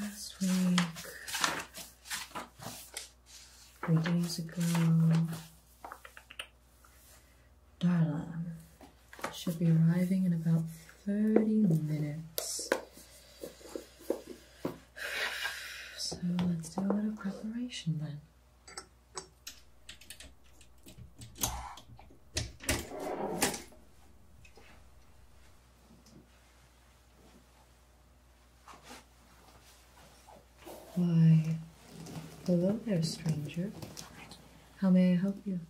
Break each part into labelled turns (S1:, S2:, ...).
S1: Last week three days ago. Darla should be arriving in about 30 minutes. So let's do a little preparation then. Why, hello there, stranger. How may I help you?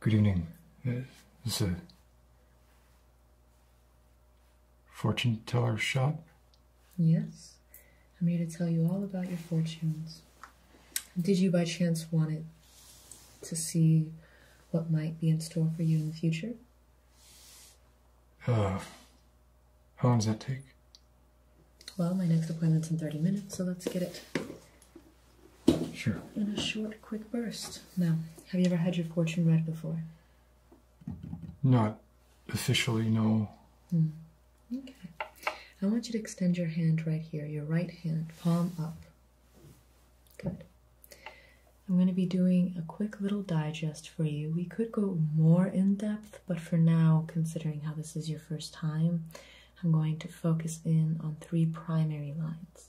S2: Good evening. Uh, this fortune teller shop?
S1: Yes. I'm here to tell you all about your fortunes. Did you by chance want it to see what might be in store for you in the future?
S2: Uh, how long does that take?
S1: Well, my next appointment's in 30 minutes, so let's get it. Sure. In a short, quick burst. Now, have you ever had your fortune read before?
S2: Not officially, no. Hmm.
S1: Okay. I want you to extend your hand right here, your right hand, palm up, Good. I'm going to be doing a quick little digest for you. We could go more in depth, but for now, considering how this is your first time, I'm going to focus in on three primary lines.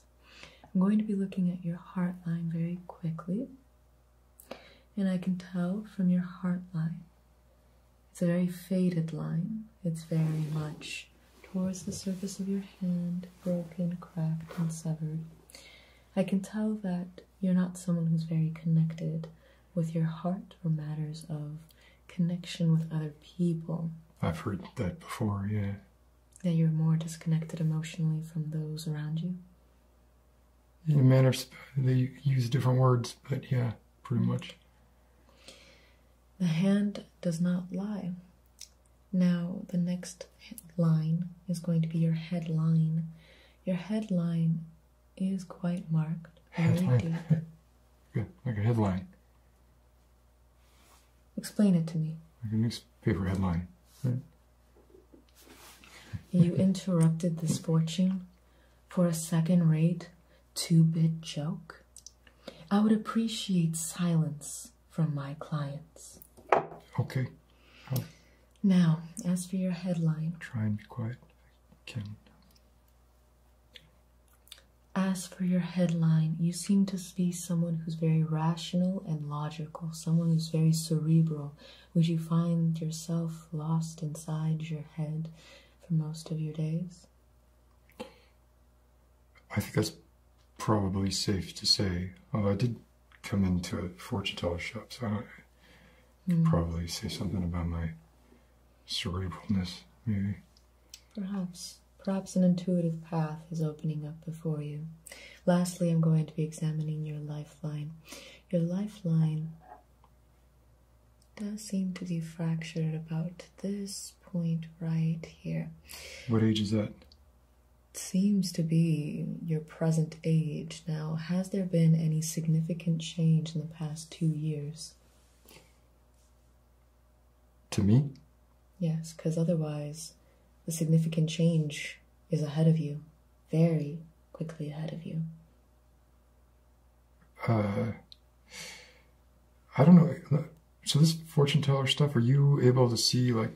S1: I'm going to be looking at your heart line very quickly. And I can tell from your heart line, it's a very faded line. It's very much towards the surface of your hand, broken, cracked, and severed. I can tell that you're not someone who's very connected with your heart or matters of connection with other people.
S2: I've heard that before, yeah.
S1: That you're more disconnected emotionally from those around you?
S2: The manners, they use different words, but yeah, pretty mm-hmm. much.
S1: The hand does not lie. Now, the next line is going to be your headline. Your headline is quite marked. Headline.
S2: Good, like a headline.
S1: Explain it to me.
S2: Like a newspaper headline. Right?
S1: you interrupted this fortune for a second rate two bit joke. I would appreciate silence from my clients. Okay. now, as for your headline.
S2: Try and be quiet can.
S1: As for your headline, you seem to be someone who's very rational and logical, someone who's very cerebral. Would you find yourself lost inside your head for most of your days?
S2: I think that's probably safe to say. I did come into a fortune teller shop, so I do hmm. probably say something about my cerebralness, maybe.
S1: Perhaps. Perhaps an intuitive path is opening up before you. Lastly, I'm going to be examining your lifeline. Your lifeline does seem to be fractured about this point right
S2: here. What age is that?
S1: seems to be your present age. Now, has there been any significant change in the past two years? To me? Yes, because otherwise, the significant change is ahead of you, very quickly ahead of you.
S2: Uh, I don't know. So this fortune teller stuff, are you able to see like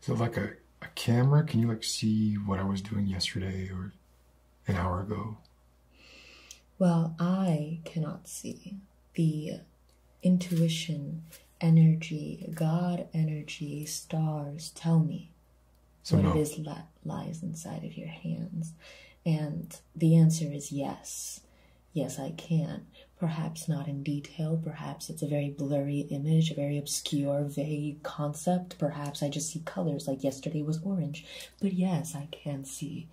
S2: so like a, a camera, can you like see what I was doing yesterday or an hour ago?
S1: Well, I cannot see the intuition, energy, God energy, stars tell me so what it is that lies inside of your hands. And the answer is yes yes, I can. Perhaps not in detail, perhaps it's a very blurry image, a very obscure, vague concept. Perhaps I just see colors like yesterday was orange. But yes, I can see.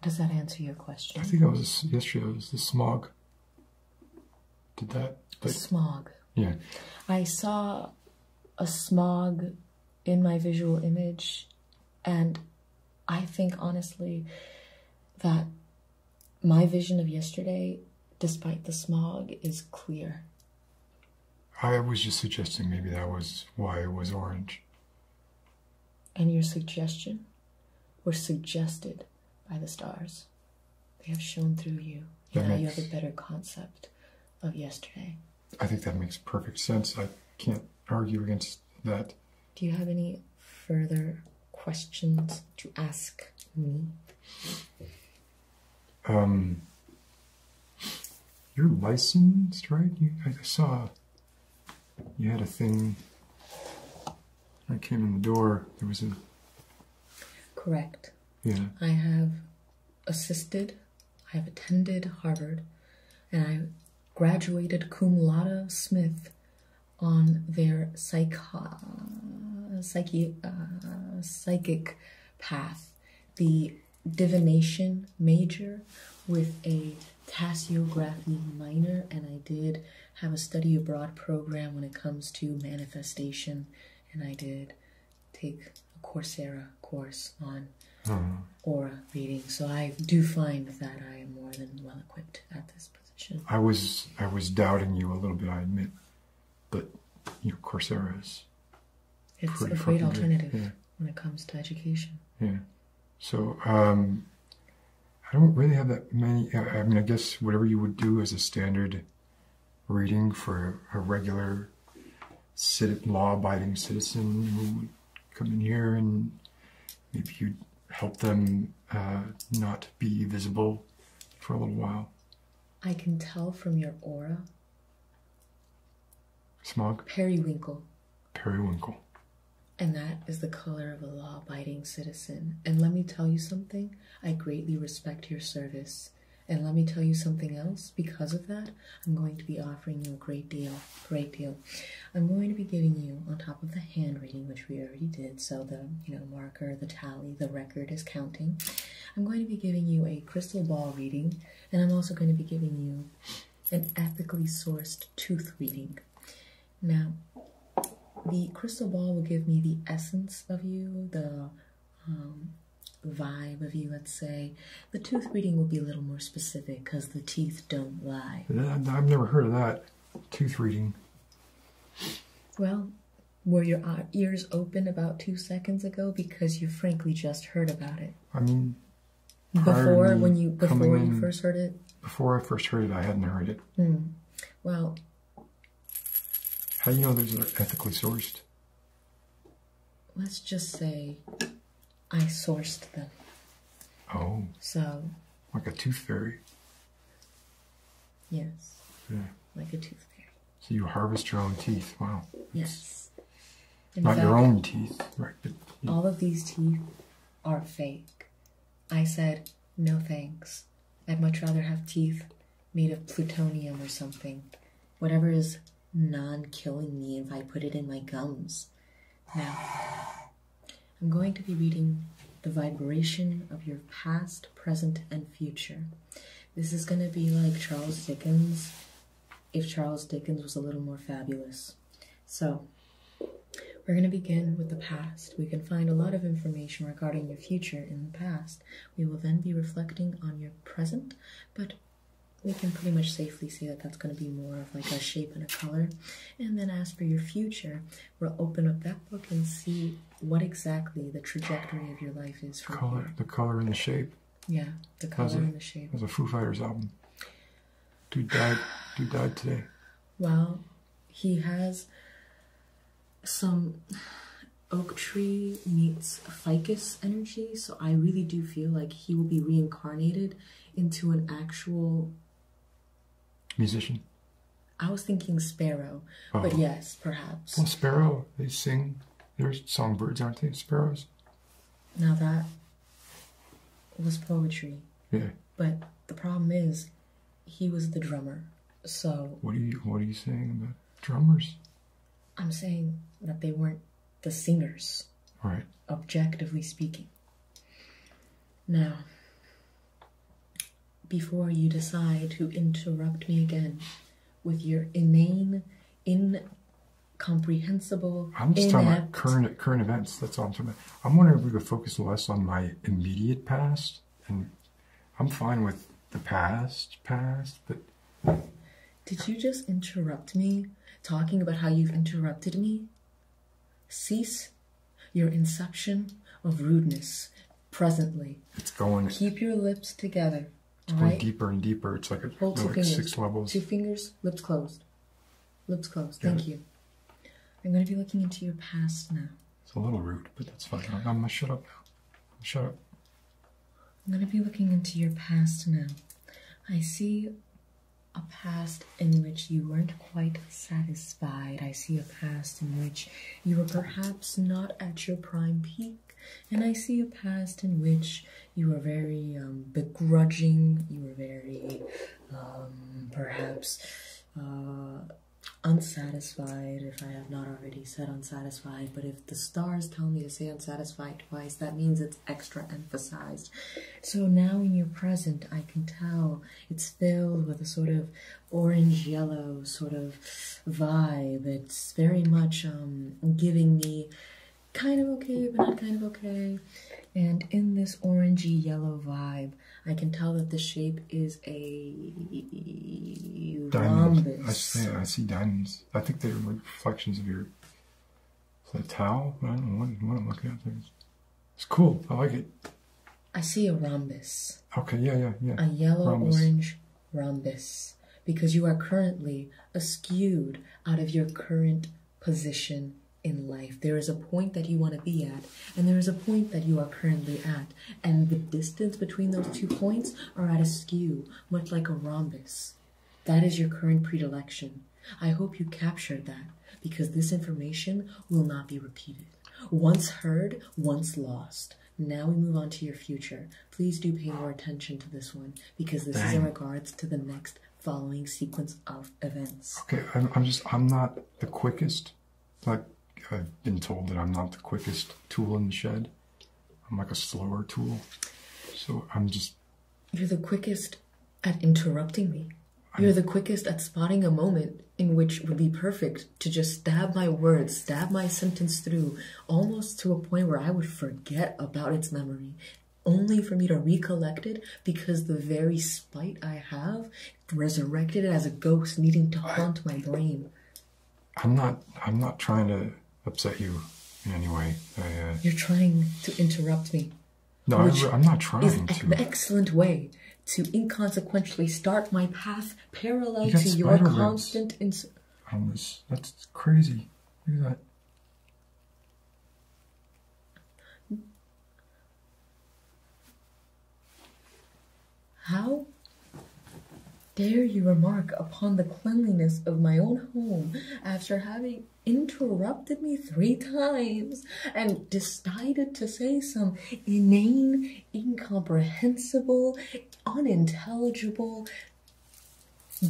S1: Does that answer your question? I think that
S2: was yesterday, it was the smog. Did that? The
S1: smog. Yeah. I saw a smog in my visual image, and I think honestly that my vision of yesterday, despite the smog, is clear.
S2: I was just suggesting maybe that was why it was orange.
S1: And your suggestion were suggested by the stars. They have shown through you. That you have a better concept of yesterday.
S2: I think that makes perfect sense. I can't argue against that.
S1: Do you have any further questions to ask me?
S2: Um, you're licensed, right? You, I saw you had a thing. I came in the door. There was a. Correct. Yeah.
S1: I have assisted. I have attended Harvard, and I graduated cum laude Smith on their psych psyche uh, psychic path the divination major with a Tassiography minor, and I did have a study abroad program when it comes to manifestation, and I did take a Coursera course on hmm. aura reading. So I do find that I am more than well equipped
S2: at this I was I was doubting you a little bit, I admit, but you know, Coursera is it's a great alternative
S1: when it comes to education.
S2: Yeah. So um, I don't really have that many. I mean, I guess whatever you would do as a standard reading for a regular law-abiding citizen who would come in here and maybe you help them uh, not be visible for a little while.
S1: I can tell from your aura.
S2: Smog? Periwinkle. Periwinkle.
S1: And that is the color of a law abiding citizen. And let me tell you something I greatly respect your service. And let me tell you something else. Because of that, I'm going to be offering you a great deal. Great deal. I'm going to be giving you, on top of the. Hand reading, which we already did, so the you know marker, the tally, the record is counting. I'm going to be giving you a crystal ball reading, and I'm also going to be giving you an ethically sourced tooth reading. Now, the crystal ball will give me the essence of you, the um, vibe of you, let's say. The tooth reading will be a little more specific because the teeth don't lie.
S2: I've never heard of that. Tooth reading.
S1: Well, were your uh, ears open about two seconds ago because you frankly just heard about it?
S2: I mean, before when you before you first heard it. Before I first heard it, I hadn't heard it.
S1: Mm. Well,
S2: how do you know those are ethically sourced?
S1: Let's just say, I sourced them. Oh. So.
S2: Like a tooth fairy.
S1: Yes. Like a
S2: toothpick. So you harvest your own teeth. Wow. Yes. not your own teeth, right? All
S1: of these teeth are fake. I said, no thanks. I'd much rather have teeth made of plutonium or something. Whatever is non-killing me if I put it in my gums. Now, I'm going to be reading the vibration of your past, present, and future. This is going to be like Charles Dickens, if Charles Dickens was a little more fabulous. So, we're going to begin with the past. We can find a lot of information regarding your future in the past. We will then be reflecting on your present, but we can pretty much safely say that that's going to be more of like a shape and a color. And then as for your future, we'll open up that book and see what exactly the trajectory of your life is for color,
S2: the color and the shape. Yeah, the color and the shape. It was a Foo Fighters album. Dude died. Dude died today.
S1: Well, he has some oak tree meets ficus energy, so I really do feel like he will be reincarnated into an actual musician? I was thinking Sparrow, but oh. yes, perhaps.
S2: Well, Sparrow, they sing. They're songbirds, aren't they? Sparrows.
S1: Now that was poetry. Yeah. But the problem is, he was the drummer. So.
S2: What are you What are you saying about drummers?
S1: I'm saying that they weren't the singers. Right. Objectively speaking. Now, before you decide to interrupt me again with your inane, incomprehensible.
S2: I'm just talking about current current events. That's all I'm talking I'm wondering if we could focus less on my immediate past, and I'm fine with the past, past, but.
S1: Did you just interrupt me talking about how you've interrupted me? Cease your inception of rudeness presently.
S2: It's going. Keep
S1: your lips together.
S2: It's going deeper and deeper. It's like, a, like six levels. Two fingers, lips closed. Lips closed. Thank you.
S1: I'm going to be looking into your past now.
S2: It's a little rude, but that's fine. I'm going to shut up now. Shut up.
S1: I'm going to be looking into your past now. I see a past in which you weren't quite satisfied. I see a past in which you are perhaps not at your prime peak, and I see a past in which you were very um, begrudging, you were very um, perhaps uh, unsatisfied, if I have not already said unsatisfied, but if the stars tell me to say unsatisfied twice, that means it's extra emphasized. So now in your present, I can tell it's filled with a sort of orange yellow sort of vibe. It's very much um, giving me kind of okay, but not kind of okay. And in this orangey yellow vibe, I can tell that the shape is a
S2: diamond. rhombus. I see, diamonds. I think they're reflections of your towel. I don't know what, what I'm looking at there. It's cool. I like it.
S1: I see a rhombus.
S2: Okay, yeah, yeah, yeah. A yellow orange
S1: rhombus. Because you are currently askewed out of your current position in life. There is a point that you want to be at, and there is a point that you are currently at. And the distance between those two points are at a skew, much like a rhombus. That is your current predilection. I hope you captured that because this information will not be repeated. Once heard, once lost. Now we move on to your future. Please do pay more attention to this one because this is in regards to the next following sequence of events.
S2: Okay, I'm, I'm just, I'm not the quickest. Like, I've been told that I'm not the quickest tool in the shed. I'm like a slower tool. So I'm just.
S1: You're the quickest at interrupting me. You're the quickest at spotting a moment in which would be perfect to just stab my words, stab my sentence through, almost to a point where I would forget about its memory, only for me to recollect it because the very spite I have resurrected it as a ghost needing to haunt my brain.
S2: I'm not. I'm not trying to upset you in any way. I, uh,
S1: You're trying to interrupt me.
S2: No, I, am not trying is
S1: to. An excellent way to inconsequentially start my path parallel to your constant insults,
S2: on this. That's crazy. Look at
S1: that. How dare you remark upon the cleanliness of my own home after having interrupted me three times and decided to say some inane incomprehensible, unintelligible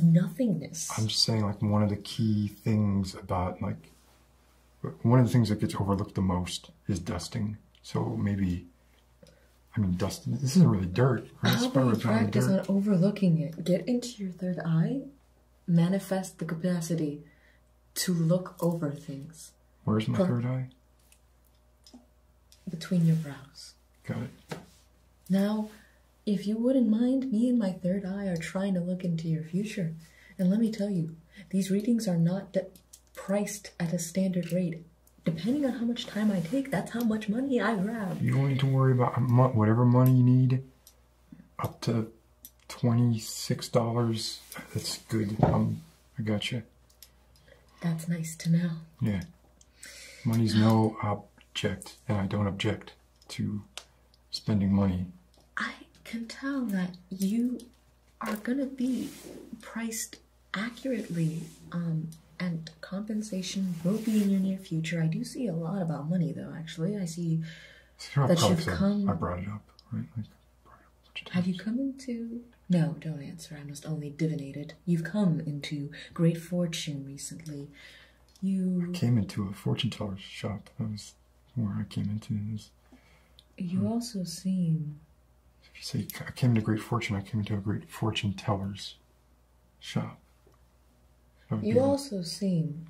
S1: nothingness.
S2: I'm just saying, like, one of the key things about, like, one of the things that gets overlooked the most is dusting. So maybe, I mean, dust, this isn't really dirt. How about practice on
S1: overlooking it? Get into your third eye, manifest the capacity to look over things.
S2: Where's my third eye?
S1: between your brows. Got it. Now, if you wouldn't mind, me and my third eye are trying to look into your future. And let me tell you, these readings are not priced at a standard rate. Depending on how much time I take, that's how much money I grab.
S2: You don't need to worry about whatever money you need, up to $26. That's good. Um, I got you.
S1: That's nice to know.
S2: Yeah. Money's no object, and I don't object to spending money.
S1: I can tell that you are going to be priced accurately, um, and compensation will be in your near future. I do see a lot about money, though, actually. I see that you've come. I brought it up, right? Like, brought it up have you come into no, don't answer. I must only divinate it. You've come into great fortune recently. You. came
S2: into a fortune teller's shop. That was where I came into this.
S1: You hmm. also seem.
S2: you say I came into great fortune, I came to a great fortune teller's shop. You
S1: also seem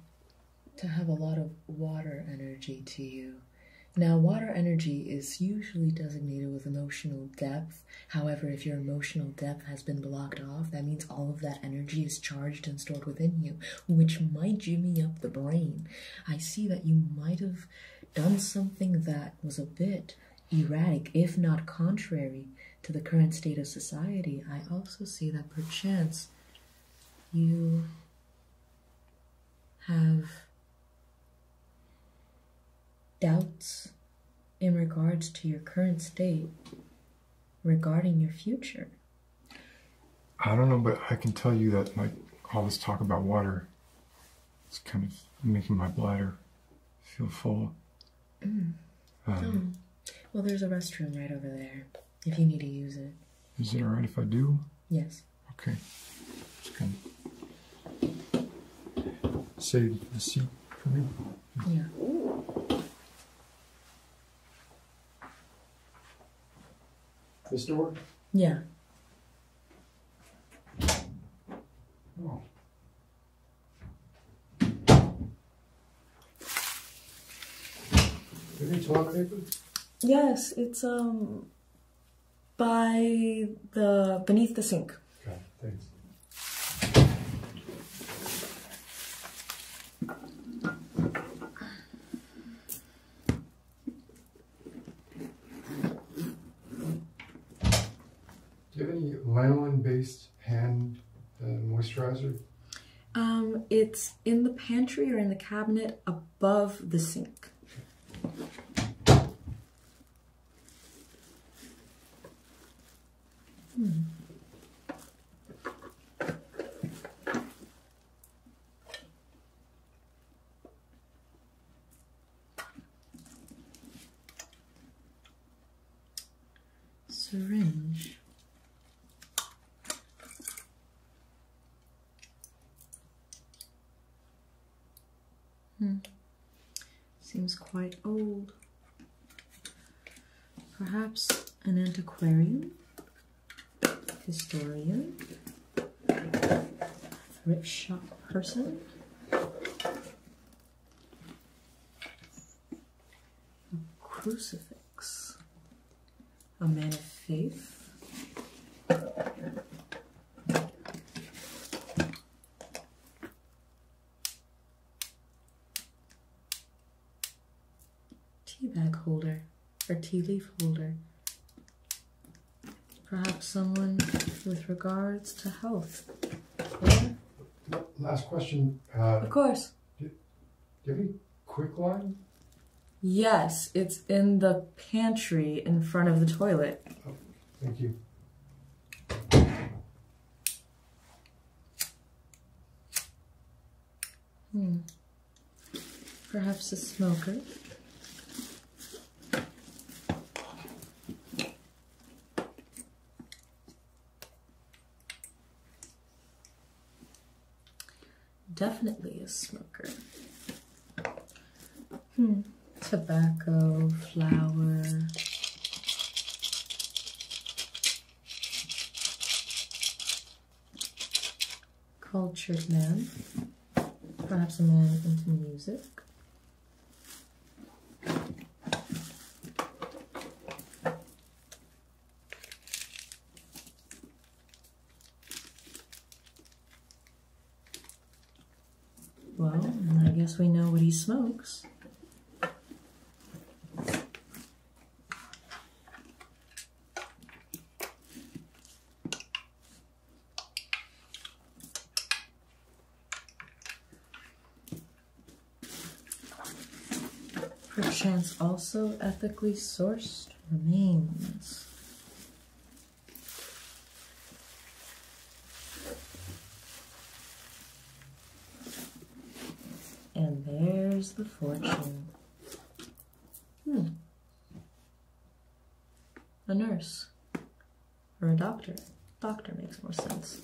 S1: to have a lot of water energy to you. Now, water energy is usually designated with emotional depth However, if your emotional depth has been blocked off, that means all of that energy is charged and stored within you, which might jimmy up the brain. I see that you might have done something that was a bit erratic, if not contrary to the current state of society. I also see that perchance you have doubts in regards to your current state regarding your future?
S2: I don't know, but I can tell you that like all this talk about water is kind of making my bladder feel full. Mm. Um,
S1: oh. Well, there's a restroom right over there if you need to use it.
S2: Is it all right if I do? Yes. Okay. Just kind Save the seat for me. Yeah. This door? Yeah. Oh. Any toilet paper?
S1: Yes, it's um by the beneath the sink.
S2: Okay, thanks. Do you have any lanolin-based hand uh, moisturizer?
S1: Um, it's in the pantry or in the cabinet above the sink. Hmm.
S2: Syringe. Hmm.
S1: Seems quite old. Perhaps an antiquarian, historian, thrift shop person. A crucifix, a man of faith tea bag holder or tea leaf holder. Perhaps someone with regards to health.
S2: Last question. Uh, of course. Do, do you quick one.
S1: Yes, it's in the pantry in front of the toilet.
S2: Oh, thank you.
S1: Hmm. Perhaps a smoker. Definitely a smoker. Hmm. Tobacco, flour, cultured man, perhaps a man into music. Well, I guess we know what he smokes. Perchance also ethically sourced remains. And there's the fortune. Hmm. A nurse. Or a doctor. Doctor makes more sense.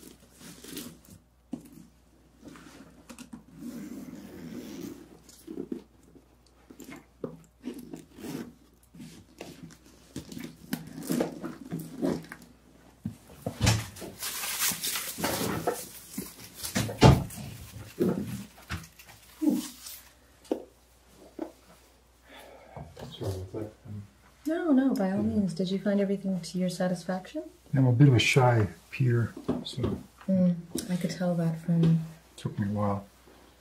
S1: Um, no, no, by all means. Did you find everything to your satisfaction?
S2: I'm a bit of a shy Peter, so.
S1: Mm, I could tell that from.
S2: Took me a while.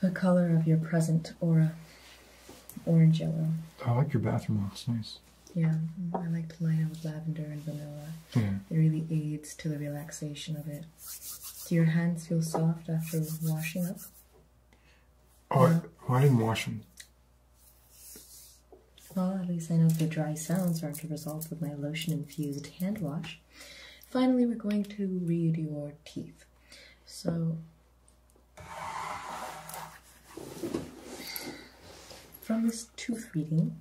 S1: The color of your present aura. Orange yellow.
S2: I like your bathroom. Looks nice.
S1: Yeah, I like to line it with lavender and vanilla. It really aids to the relaxation of it. Do your hands feel soft after washing up?
S2: Oh, no? I, I didn't wash them.
S1: Well, at least I know the dry sounds aren't resolved with my lotion-infused hand wash. Finally, we're going to read your teeth. So, from this tooth reading,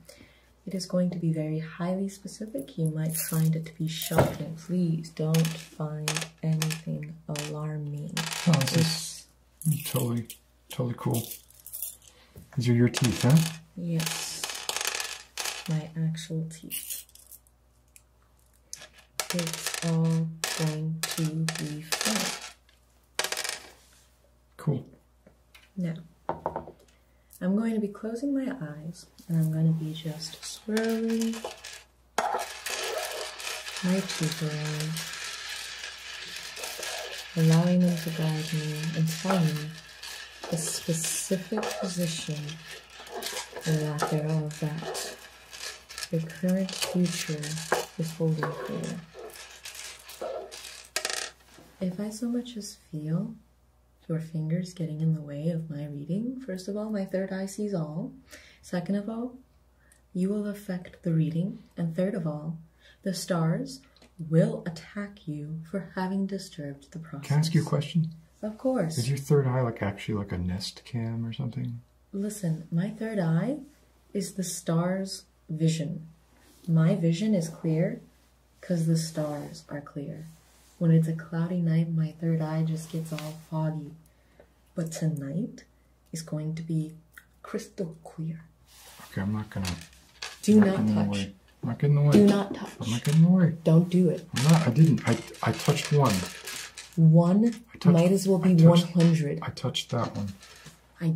S1: it is going to be very highly specific. You might find it to be shocking. Please don't find anything alarming. Oh, this
S2: is totally, totally cool. These are your teeth, huh?
S1: Yes, my actual teeth. It's all going to be fine. Cool. Now, I'm going to be closing my eyes and I'm going to be just swirling my teeth around, allowing them to guide me and tell me the specific position or lack thereof that your current future is holding for you. If I so much as feel your fingers getting in the way of my reading, first of all, my third eye sees all. Second of all, you will affect the reading. And third of all, the stars will attack you for having disturbed the process. Can I ask you a question? Of course. Is your
S2: third eye like actually like a nest cam or something?
S1: Listen, my third eye is the stars vision. My vision is clear because the stars are clear. When it's a cloudy night, my third eye just gets all foggy. But tonight is going to be crystal clear. Okay, I'm not gonna. Do not, touch.
S2: I'm not getting away. Do not touch. I'm not getting away. Don't do it. I'm not. I didn't. I I touched one.
S1: One might as well be one hundred.
S2: I touched that one. I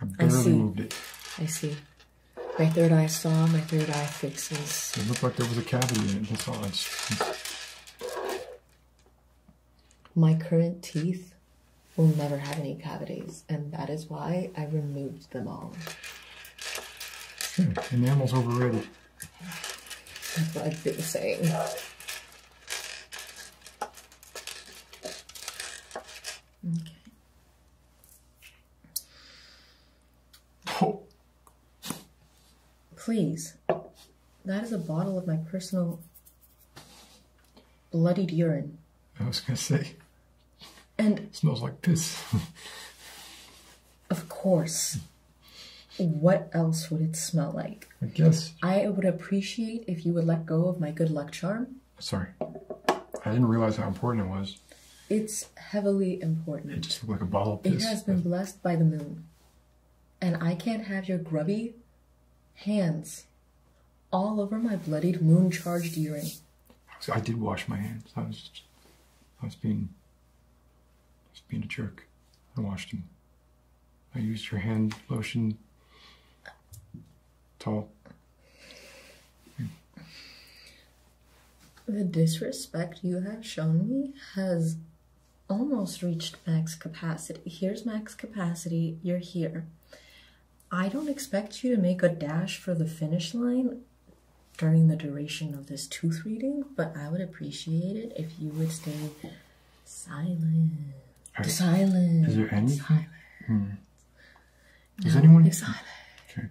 S2: I barely I moved it. I see. My third eye saw, my third eye fixes. It looked like there was a cavity in it, that's
S1: My current teeth will never have any cavities, and that is why I removed them all.
S2: Hmm, enamel's overrated.
S1: That's what I've been saying. Okay. Please. That is a bottle of my personal bloodied urine.
S2: I was gonna say. And smells like piss.
S1: of course. What else would it smell like? I guess. I would appreciate if you would let go of my good luck charm
S2: Sorry. I didn't realize how important it was.
S1: It's heavily important. It
S2: just looked like a bottle of piss. It has
S1: been blessed by the moon. And I can't have your grubby
S2: hands all over my bloodied moon charged earring. I did wash my hands. I was I was being I was being a jerk. I washed them. I used your hand lotion tall. The
S1: disrespect you have shown me has almost reached max capacity. Here's max capacity, you're here. I don't expect you to make a dash for the finish line during the duration of this tooth reading, but I would appreciate it if you would stay silent. Are, silent. Is there any silence?
S2: Hmm. Is anyone? Is
S1: okay.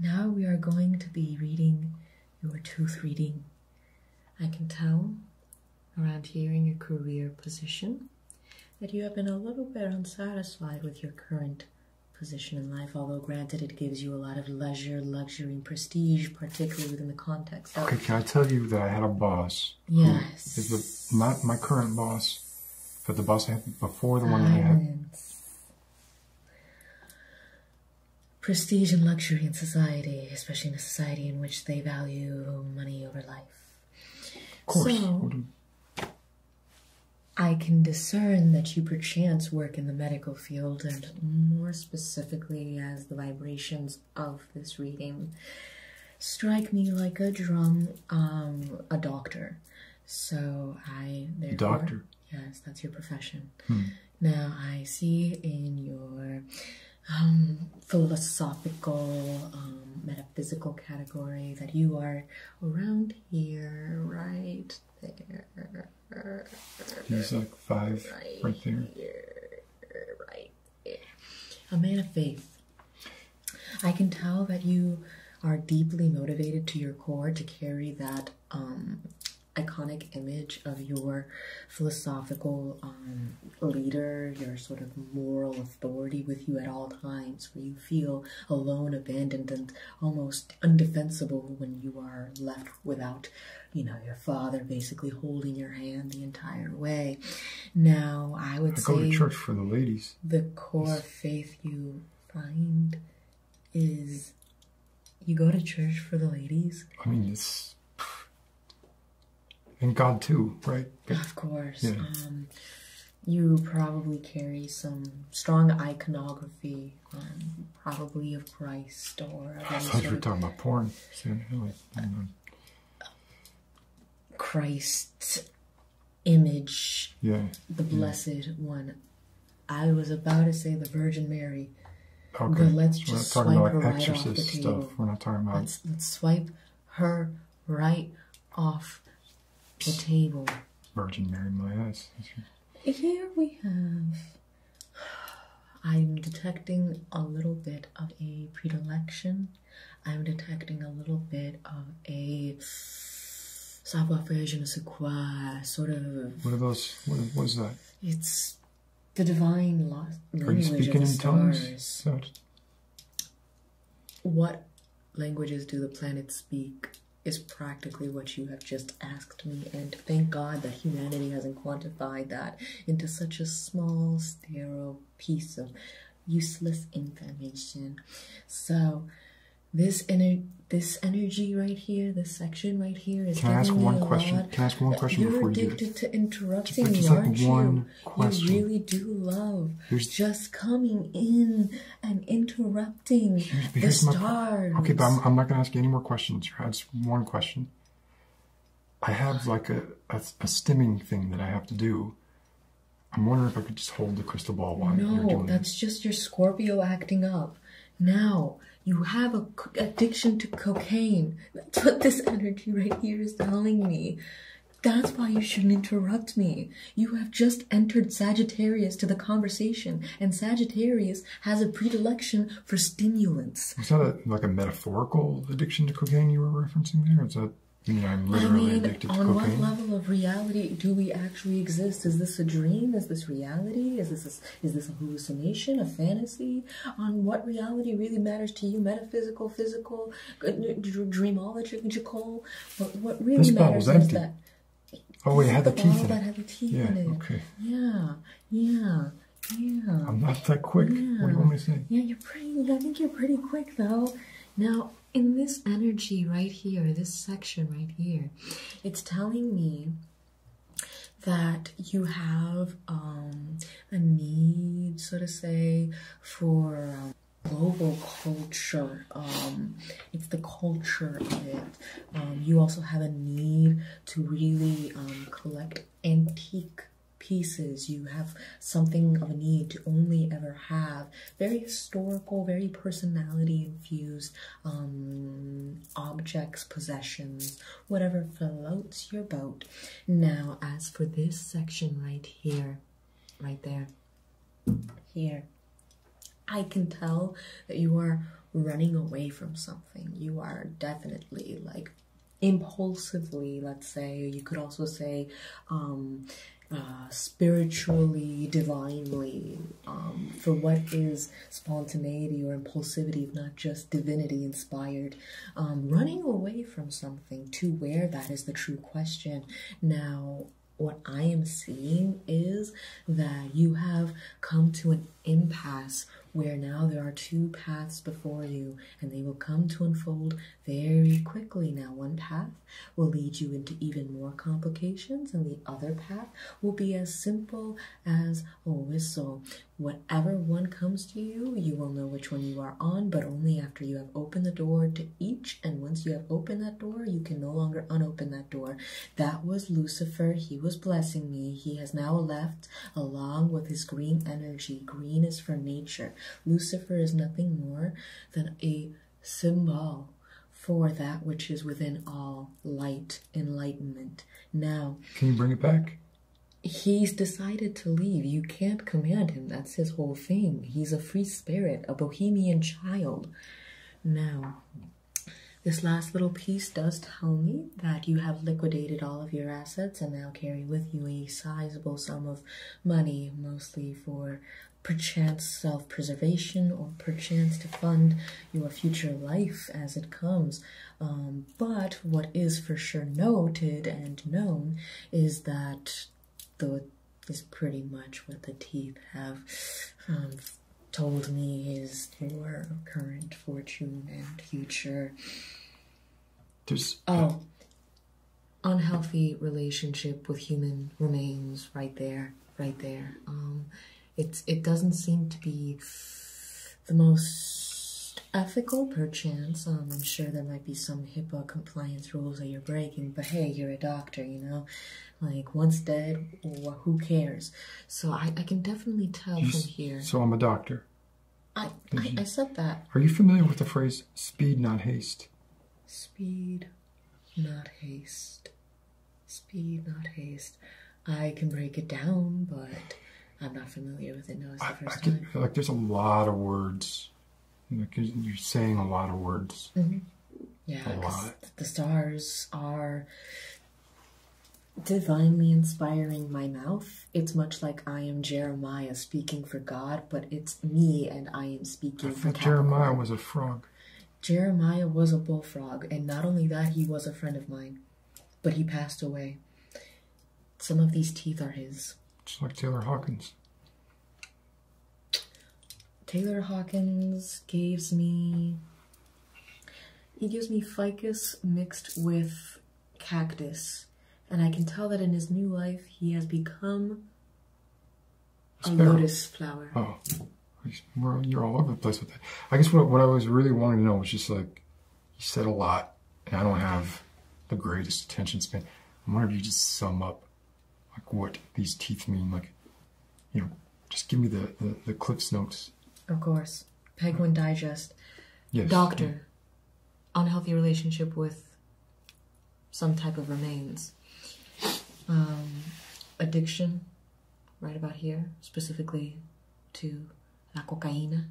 S1: Now we are going to be reading your tooth reading. I can tell around here in your career position that you have been a little bit unsatisfied with your current position in life, although granted it gives you a lot of leisure, luxury, and prestige, particularly within the context of... Okay, can
S2: I tell you that I had a boss? Yeah. Is the, not my current boss, but the boss had before the one I he had?
S1: Prestige and luxury in society, especially in a society in which they value money over life. Of course. So, I can discern that you perchance work in the medical field and more specifically as the vibrations of this reading strike me like a drum, um, a doctor. So I doctor. Yes, that's your profession. Hmm. Now I see in your um, philosophical, um, metaphysical category that you are around here, right there.
S2: He's like five, right, there.
S1: right A man of faith. I can tell that you are deeply motivated to your core to carry that um, iconic image of your philosophical um, leader, your sort of moral authority with you at all times, where you feel alone, abandoned, and almost undefensible when you are left without, you know, your father basically holding your hand the entire way. No, I would go to church for the ladies the core faith you find is you go to church for the ladies.
S2: I mean, it's and God too, right? of course. Um,
S1: you probably carry some strong iconography, um, probably of Christ
S2: or. Of I thought talking about porn.
S1: Christ image, yeah, the Blessed One. I was about to say the Virgin Mary. But let's just swipe her right off the table. let's, let's swipe her right off the table.
S2: Virgin Mary, my eyes.
S1: Here we have. I'm detecting a little bit of a predilection I'm detecting a little bit of a savoir-faire sequoia sort of. What about what? What is that? It's the divine lo- language Are you speaking in stars. What languages do the planets speak? Is practically what you have just asked me, and thank God that humanity hasn't quantified that into such a small, sterile piece of useless information. So this ener this energy right here, this section right here is. Can I ask question? Lot. Can I ask one question You're before you You're addicted to interrupting me, like aren't you? Question. really do love just coming in and interrupting here's, here's
S2: the okay, but I'm, not going to ask you any more questions. You That's one question. I have like a, a, a stimming thing that I have to do I'm wondering if I could just hold the crystal ball while no, you're doing
S1: that's just your Scorpio acting up. Now, you have a addiction to cocaine. That's what this energy right here is telling me. That's why you shouldn't interrupt me. You have just entered Sagittarius to the conversation, and Sagittarius has a predilection for stimulants.
S2: Is that like a metaphorical addiction to cocaine you were referencing there? Is that i mean, on what level
S1: of reality do we actually exist? Is this a dream? Is this reality? Is this a, is this a hallucination, a fantasy? On what reality really matters to you? Metaphysical, physical, dreamological. What, what really this matters is empty. that.
S2: Oh wait, had the, the teeth yeah, Okay.
S1: Yeah. Yeah. Yeah. I'm not that quick. Yeah, you're pretty. I think you're pretty quick though. Now, in this energy right here, this section right here, it's telling me that you have um, a need, so to say, for global culture. Um, it's the culture of it. Um, you also have a need to really collect antique pieces. You have something of a need to only ever have very historical, very personality infused um, objects, possessions, whatever floats your boat. Now, as for this section right here, right there, here, I can tell that you are running away from something. You are definitely like impulsively, let's say, you could also say, um, uh, spiritually, divinely, um, for what is spontaneity or impulsivity, if not just divinity inspired, um, running away from something to where that is the true question. Now, what I am seeing is that you have come to an impasse where now there are two paths before you and they will come to unfold very quickly. Now, one path will lead you into even more complications, and the other path will be as simple as a whistle. Whatever one comes to you, you will know which one you are on, but only after you have opened the door to each. And once you have opened that door, you can no longer unopen that door. That was Lucifer. He was blessing me. He has now left along with his green energy. Green is for nature. Lucifer is nothing more than a symbol for that which is within all light, enlightenment. Now,
S2: can you bring it back?
S1: He's decided to leave. You can't command him. That's his whole thing. He's a free spirit, a bohemian child. Now, this last little piece does tell me that you have liquidated all of your assets and now carry with you a sizable sum of money, mostly for perchance self-preservation or perchance to fund your future life as it comes um, but what is for sure noted and known is that the is pretty much what the teeth have um, told me is your current fortune and future there's uh, oh unhealthy relationship with human remains right there right there. Um, it doesn't seem to be the most ethical, perchance. Um, I'm sure there might be some HIPAA compliance rules that you're breaking, but hey, you're a doctor, you know. Like once dead, who cares? So I, I can definitely tell from here. So
S2: I'm a doctor.
S1: I, I said that.
S2: Are you familiar with the phrase "speed, not haste"?
S1: Speed, not haste. Speed, not haste. I can break it down, but I'm not familiar with it No, It's the I, first I time.
S2: like, there's a lot of words. you're saying a lot of words. Mm -hmm. Yeah,
S1: the stars are divinely inspiring my mouth. It's much like I am Jeremiah speaking for God, but it's me and I am speaking I for Capricorn. Jeremiah was a frog. Jeremiah was a bullfrog, and not only that, he was a friend of mine, but he passed away. Some of these teeth are his.
S2: Just like Taylor Hawkins.
S1: Taylor Hawkins gives me. He gives me ficus mixed with cactus, and I can tell that in his new life he has become a lotus flower. Oh,
S2: you're all over the place with that. I guess what, what I was really wanting to know was just like, you said a lot, and I don't have the greatest attention span. I wonder if you just sum up like what these teeth mean. Like, you know, just give me the, the, Cliff's Notes.
S1: Of course. Penguin Digest. Yes. Doctor. Unhealthy relationship with some type of remains. Um, addiction right about here, specifically to la cocaína,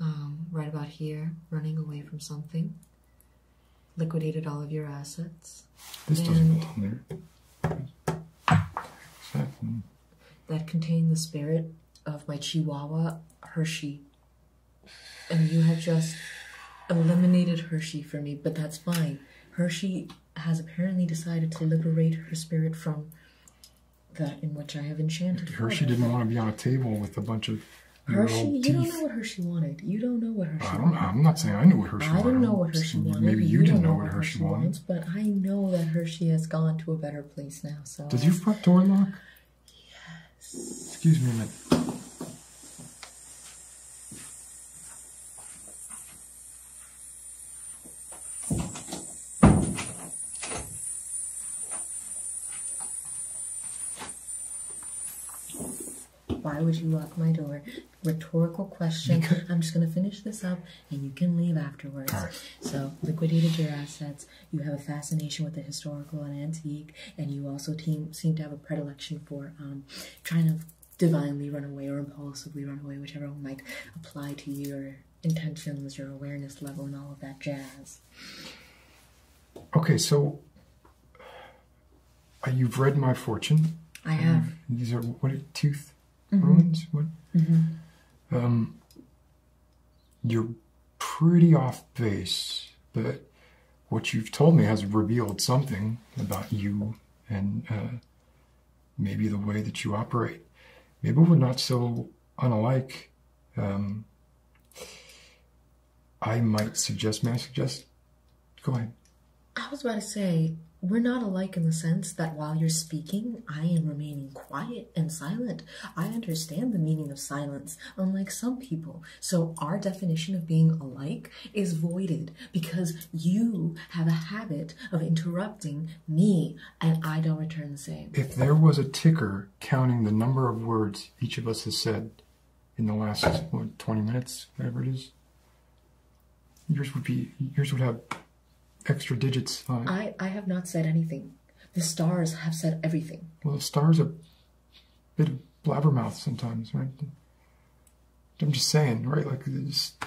S1: um, right about here, running away from something, liquidated all of your assets. This doesn't belong there. Exactly. That contained the spirit of my Chihuahua Hershey. And you have just eliminated Hershey for me, but that's fine. Hershey has apparently decided to liberate her spirit from that in which I have enchanted her. Hershey didn't want
S2: to be on a table with a bunch of Hershey, you don't
S1: know what Hershey wanted. You don't know what Hershey I don't, wanted. I'm not
S2: saying I know what Hershey I wanted. I didn't know what Hershey wanted. Maybe you, didn't know what Hershey, Hershey wanted. But
S1: I know that Hershey has gone to a better place now. So Did you
S2: fuck door lock? Yes. Excuse me a minute.
S1: Why would you lock my door? Rhetorical question. I'm just going to finish this up and you can leave afterwards. Right. So, liquidated your assets. You have a fascination with the historical and antique, and you also team, seem to have a predilection for trying um, to divinely run away or impulsively run away, whichever might apply to your intentions, your awareness level, and all of that jazz.
S2: Okay, so uh, you've read my fortune. I have. these are what are, tooth mm mm-hmm. ruins. What? Mm-hmm. Um, you're pretty off base, but what you've told me has revealed something about you and uh, maybe the way that you operate. Maybe we're not so unlike. Um, I might suggest, may I suggest? Go ahead.
S1: I was about to say, we're not alike in the sense that while you're speaking, I am remaining quiet and silent. I understand the meaning of silence, unlike some people. So our definition of being alike is voided because you have a habit of interrupting me and I don't return the same. If
S2: there was a ticker counting the number of words each of us has said in the last 20 minutes, whatever it is, yours would be yours would have extra digits I,
S1: I have not said anything. The stars have said everything.
S2: Well, the stars are a bit of blabbermouth sometimes, right? I'm just saying, right? Like, just,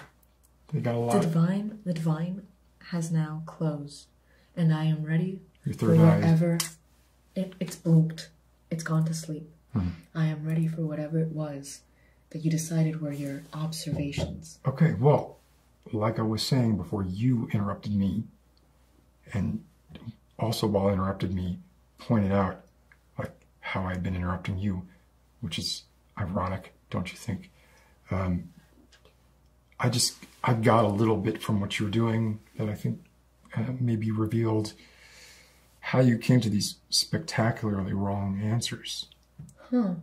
S2: the divine,
S1: the divine has now closed, and I am ready Your for whatever. It, it's blinked. It's gone to sleep. Hmm. I am ready for whatever it was that you decided were your observations.
S2: Okay, well, like I was saying before you interrupted me, and also while interrupted me, pointed out like how I've been interrupting you, which is ironic, don't you think? Um, I just, I got a little bit from what you're doing that I think uh, maybe revealed how you came to these spectacularly wrong answers.
S1: Huh.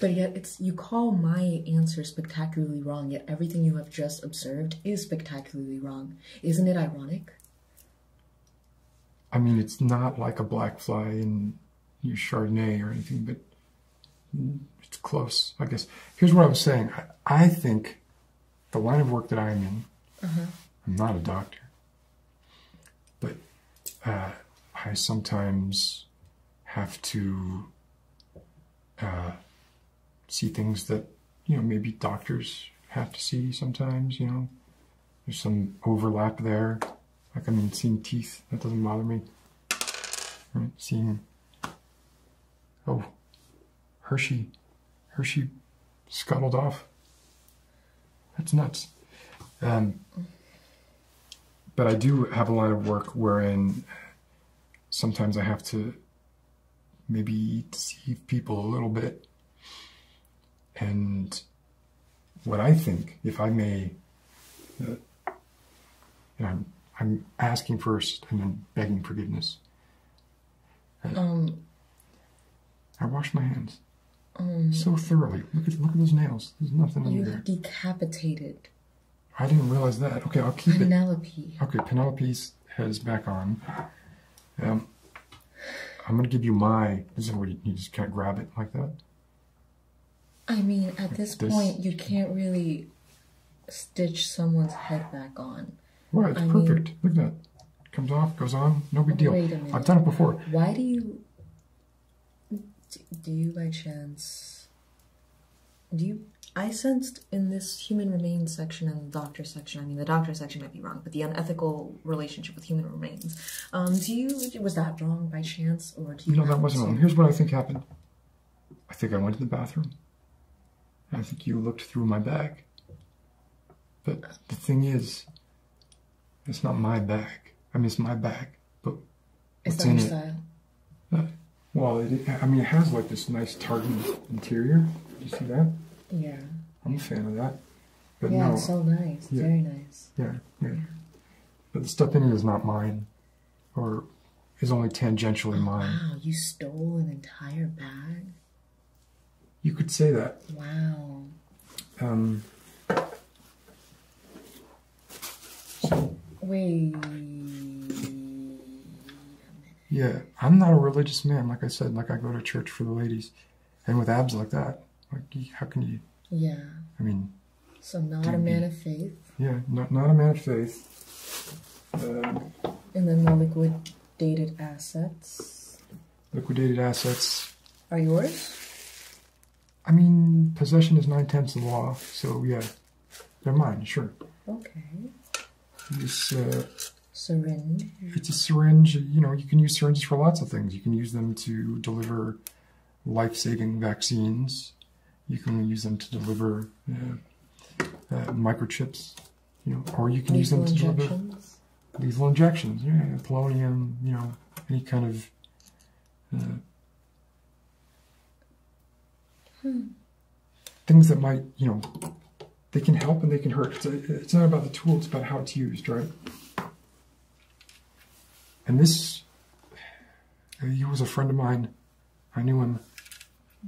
S1: But yet it's you call my answer spectacularly wrong, yet everything you have just observed is spectacularly wrong. Isn't it ironic?
S2: I mean, it's not like a black fly in your Chardonnay or anything, but it's close, I guess. Here's what I was saying. I, think the line of work that I'm in, mm-hmm. I'm not a doctor, but uh, I sometimes have to uh, see things that, you know, maybe doctors have to see sometimes, you know, there's some overlap there. Like I'm seeing teeth, that doesn't bother me. Right, seeing, oh, Hershey, Hershey scuttled off. That's nuts. Um, but I do have a lot of work wherein sometimes I have to maybe deceive people a little bit and what I think, if I may, and uh, I'm, asking first and then begging forgiveness. Uh, um, I washed my hands um, so thoroughly. Look at look at those nails. There's nothing under there.
S1: You decapitated.
S2: I didn't realize that. Okay, I'll keep Penelope. it. Okay, Penelope's head is back on. Um, I'm gonna give you my. This is where you, just can't grab it like that.
S1: I mean, at this, point, you can't really stitch someone's head back on.
S2: Right, I perfect. Look at that. Comes off, goes on, no big deal. I've done it before.
S1: Why do you. Do you by chance. Do you. I sensed in this human remains section and the doctor section, I mean, the doctor section might be wrong, but the unethical relationship human remains. Um, do you was that wrong by chance, or do you? No, that wasn't wrong. Here's what I
S2: think happened. I think I went to the bathroom. I think you looked through my bag. But the thing is, it's not my bag. I mean, it's my bag, but it's what's in it? Style? Uh, well, I mean, it has like this nice tartan interior. You see that? Yeah. I'm a fan of that. But yeah, no, it's so
S1: nice. Very nice.
S2: yeah. yeah. But the stuff in it is not mine, or is only tangentially ah, mine. Wow, you stole an entire bag? You could say that. Wow. Um. Wait. Yeah, I'm not a religious man. Like I said, like I go to church for the ladies, and with abs like that, like, how can you? Yeah. I mean.
S1: So not a man of faith.
S2: Yeah, not not a man of faith. Um,
S1: and then the liquidated assets.
S2: Liquidated assets. Are yours? I mean, possession is nine tenths of the law, so yeah, they're mine, sure. Okay. This uh, syringe. It's a syringe. You know, you can use syringes for lots of things. You can use them to deliver life-saving vaccines. You can use them to deliver uh, uh, microchips, you know, or you can use them to deliver lethal injections. polonium, you know, any kind of. Uh, hmm. Things that might, you know, they can help and they can hurt. it's not about the tool; it's about how it's used, right? And this, uh, he was a friend of mine. I knew him.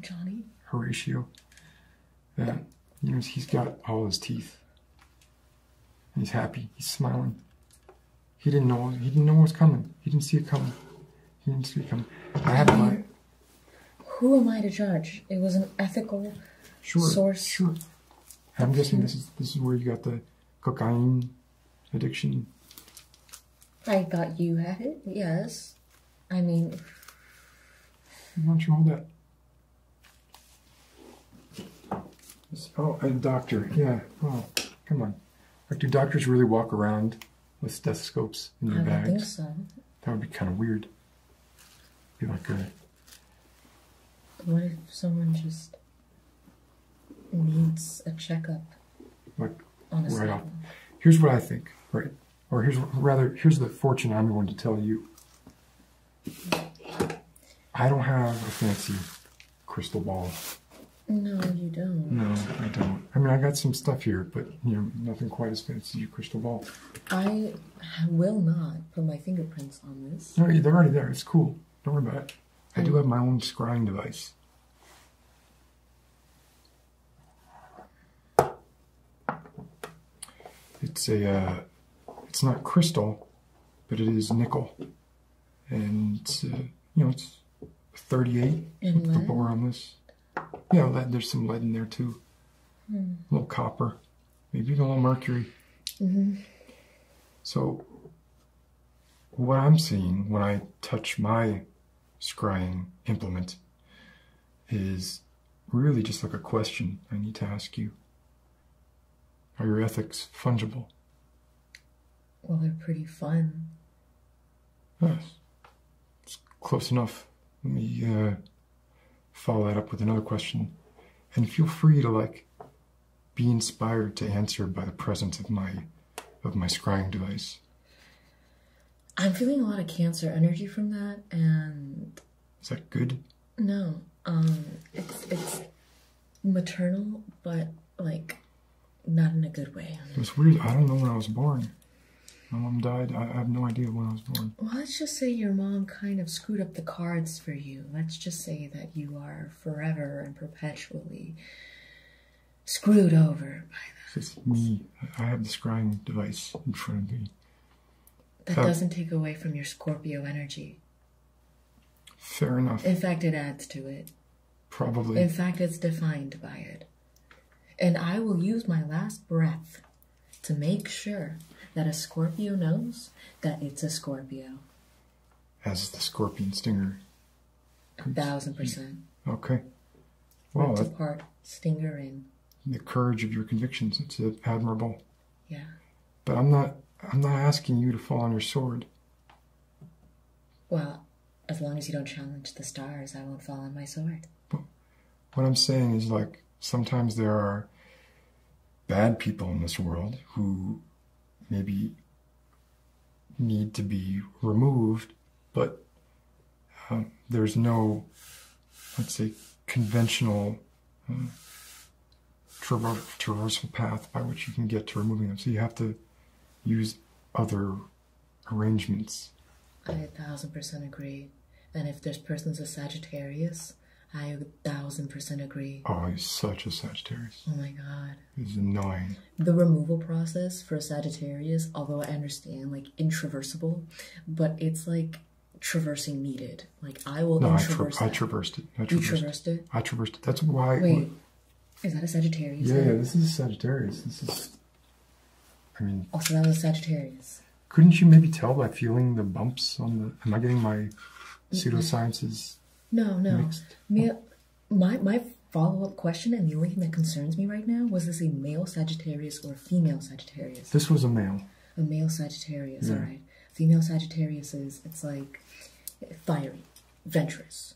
S2: Johnny? Horatio. That, uh, you know, he's got all his teeth. he's happy. He's smiling. He didn't know, he didn't know what was coming. He didn't see it coming. He didn't see it coming. I had my...
S1: Who am I to judge? It was an ethical
S2: sure, source. Sure. I'm guessing this is, this is where you got the cocaine addiction.
S1: I thought you had it, yes. I mean.
S2: Why don't you that? Oh, a doctor, yeah. Oh, come on. Like, do doctors really walk around with stethoscopes in their bags?
S1: That
S2: would be kind of weird. Be like a.
S1: What if someone just needs a checkup. Like right off.
S2: Here's what I think, right? Or here's rather here's the fortune I'm going to tell you. I don't have a fancy crystal ball.
S1: No, you don't.
S2: No, I don't. I mean, I got some stuff here, but you know, nothing quite as fancy as your crystal ball.
S1: I will not put my fingerprints on this.
S2: No, they're already there. It's cool. Don't worry about it. I do have my own scrying device. It's a, uh, it's not crystal, but it is nickel. And, uh, you know, it's 38
S1: with the bar
S2: on this. Yeah, lead, there's some lead in there too. Hmm. A little copper, maybe a little mercury. Mm-hmm. So what I'm seeing when I touch my scrying implement is really just like a question I need to ask you. Are your ethics fungible?
S1: Well, they're pretty fun.
S2: Yes. It's close enough. Let me uh, follow that up with another question. And feel free to like be inspired to answer by the presence of my of my scrying device.
S1: I'm feeling a lot of cancer energy from that, and is that good? No, um, it's it's maternal, but like not in a good way.
S2: It's weird. I don't know when I was born. My mom died. I have no idea when I was born.
S1: Well, let's just say your mom kind of screwed up the cards for you. Let's just say that you are forever and perpetually
S2: screwed over by that. It's me. I have the scrying device in front of me. That doesn't
S1: take away from your Scorpio energy.
S2: Fair enough. In
S1: fact, it adds to it.
S2: Probably. In fact,
S1: it's defined by it. And I will use my last breath to make sure that a Scorpio knows that it's a Scorpio
S2: as the scorpion stinger.
S1: A thousand percent.
S2: Okay. Well, Ripped
S1: apart, stinger in.
S2: The courage of your convictions. It's admirable. Yeah. But I'm not. I'm not asking you to fall on your sword.
S1: Well, as long as you don't challenge the stars, I won't fall on my sword.
S2: what I'm saying is, like, sometimes there are bad people in this world who maybe need to be removed, but um, there's no, let's say, conventional um, traversal path by which you can get to removing them. So you have to use other arrangements.
S1: I a thousand percent agree. And if this person's a Sagittarius, I a thousand percent agree.
S2: Oh, he's such a Sagittarius.
S1: Oh my god.
S2: It's annoying.
S1: The removal process for Sagittarius, although I understand like intraversable, but it's like traversing needed. Like I will. No, I, traversed
S2: it. I traversed, it. I traversed it. That's why. Wait,
S1: is that a Sagittarius? Yeah, yeah, this
S2: is a Sagittarius. This is. I mean.
S1: Also, oh, that was Sagittarius.
S2: Couldn't you maybe tell by feeling the bumps on the? Am I getting my pseudosciences?
S1: No, no my my follow-up question and the only thing that concerns me right now was this a male Sagittarius or female Sagittarius? This was a male. A male Sagittarius, all right. Female Sagittarius is it's like fiery, adventurous.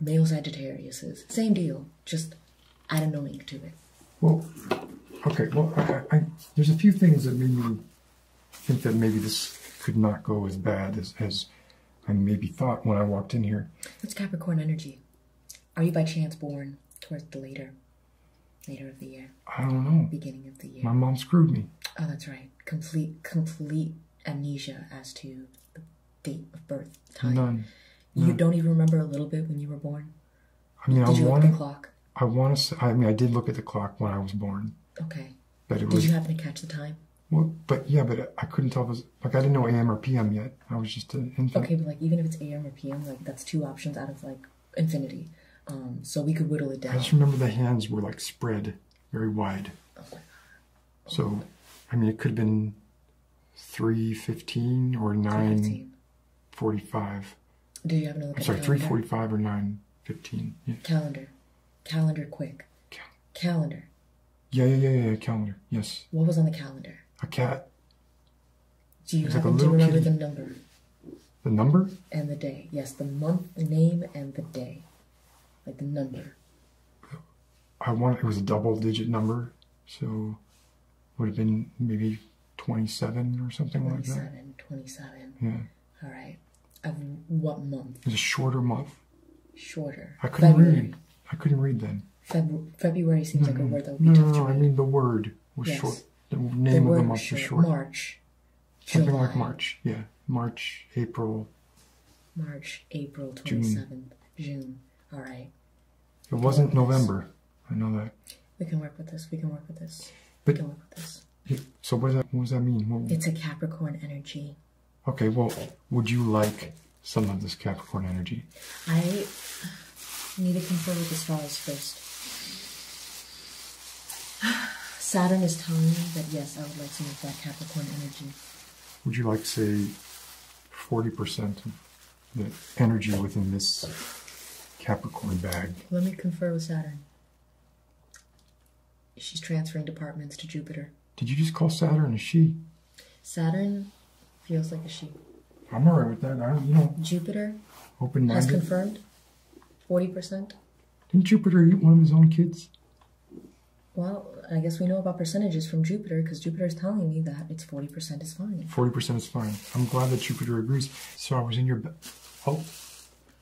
S1: Male Sagittarius is same deal, just add an link to it.
S2: Well, okay. Well, I, there's a few things that made me think that maybe this could not go as bad as as I maybe thought when I walked in here.
S1: What's Capricorn energy. Are you by chance born towards the later, later of the year? I don't know. Beginning of the year. My mom screwed me. Oh, that's right. Complete, complete amnesia as to the date of birth,
S2: time. None. You don't
S1: even remember a little bit when you were born.
S2: I mean, did you look at the clock? I want to. say. I mean, I did look at the clock when I was born. Okay. Did you happen
S1: to catch the time?
S2: Well, but yeah, but uh, I couldn't tell it was like I didn't know AM or PM yet. I was just an infant. Okay, but like even if it's AM or PM, like that's two options out of like infinity. Um, so we could whittle it down. I just remember the hands were like spread very wide. Oh my god. so, I mean, it could have been three fifteen or nine forty-five.
S1: Do you have another? I'm sorry, three forty-five
S2: or nine fifteen. Calendar, calendar, quick. calendar calendar? Yeah, yeah, yeah, yeah, calendar. Yes. What was on the calendar? A cat. Do you like happen to remember kitty. the number? The number?
S1: And the day. Yes, the month, the name, and the day. Like the number.
S2: I want it was a double digit number, so would have been maybe 27 or something 27, like
S1: that. 27, 27. Yeah. All right. Of what month?
S2: It's a shorter month
S1: shorter. I
S2: couldn't read. I couldn't read then.
S1: February seems like a word that would be no,
S2: no, I mean the word was short. The name of the month was short. March. Something like March. Yeah, March, April. March, April
S1: twenty seventh, June. All right.
S2: It wasn't November. I know that.
S1: We can work with this. We can work with this. we
S2: can work with this. So what, what does that mean? What, it's
S1: a Capricorn energy.
S2: Okay, well, would you like some of this Capricorn energy?
S1: I need to confer with the stars first. Saturn is telling me that yes, I would like some of that Capricorn energy.
S2: Would you like, say, 40% of the energy within this Capricorn bag?
S1: Let me confer with Saturn. She's transferring departments to Jupiter.
S2: Did you just call Saturn a she?
S1: Saturn feels like a she. I'm all right with that. I don't, you know. Jupiter
S2: open has confirmed
S1: 40%.
S2: Didn't Jupiter eat one of his own kids?
S1: Well, I guess we know about percentages from Jupiter because Jupiter is telling me that it's 40% is fine.
S2: 40% is fine. I'm glad that Jupiter agrees. So I was in your Oh.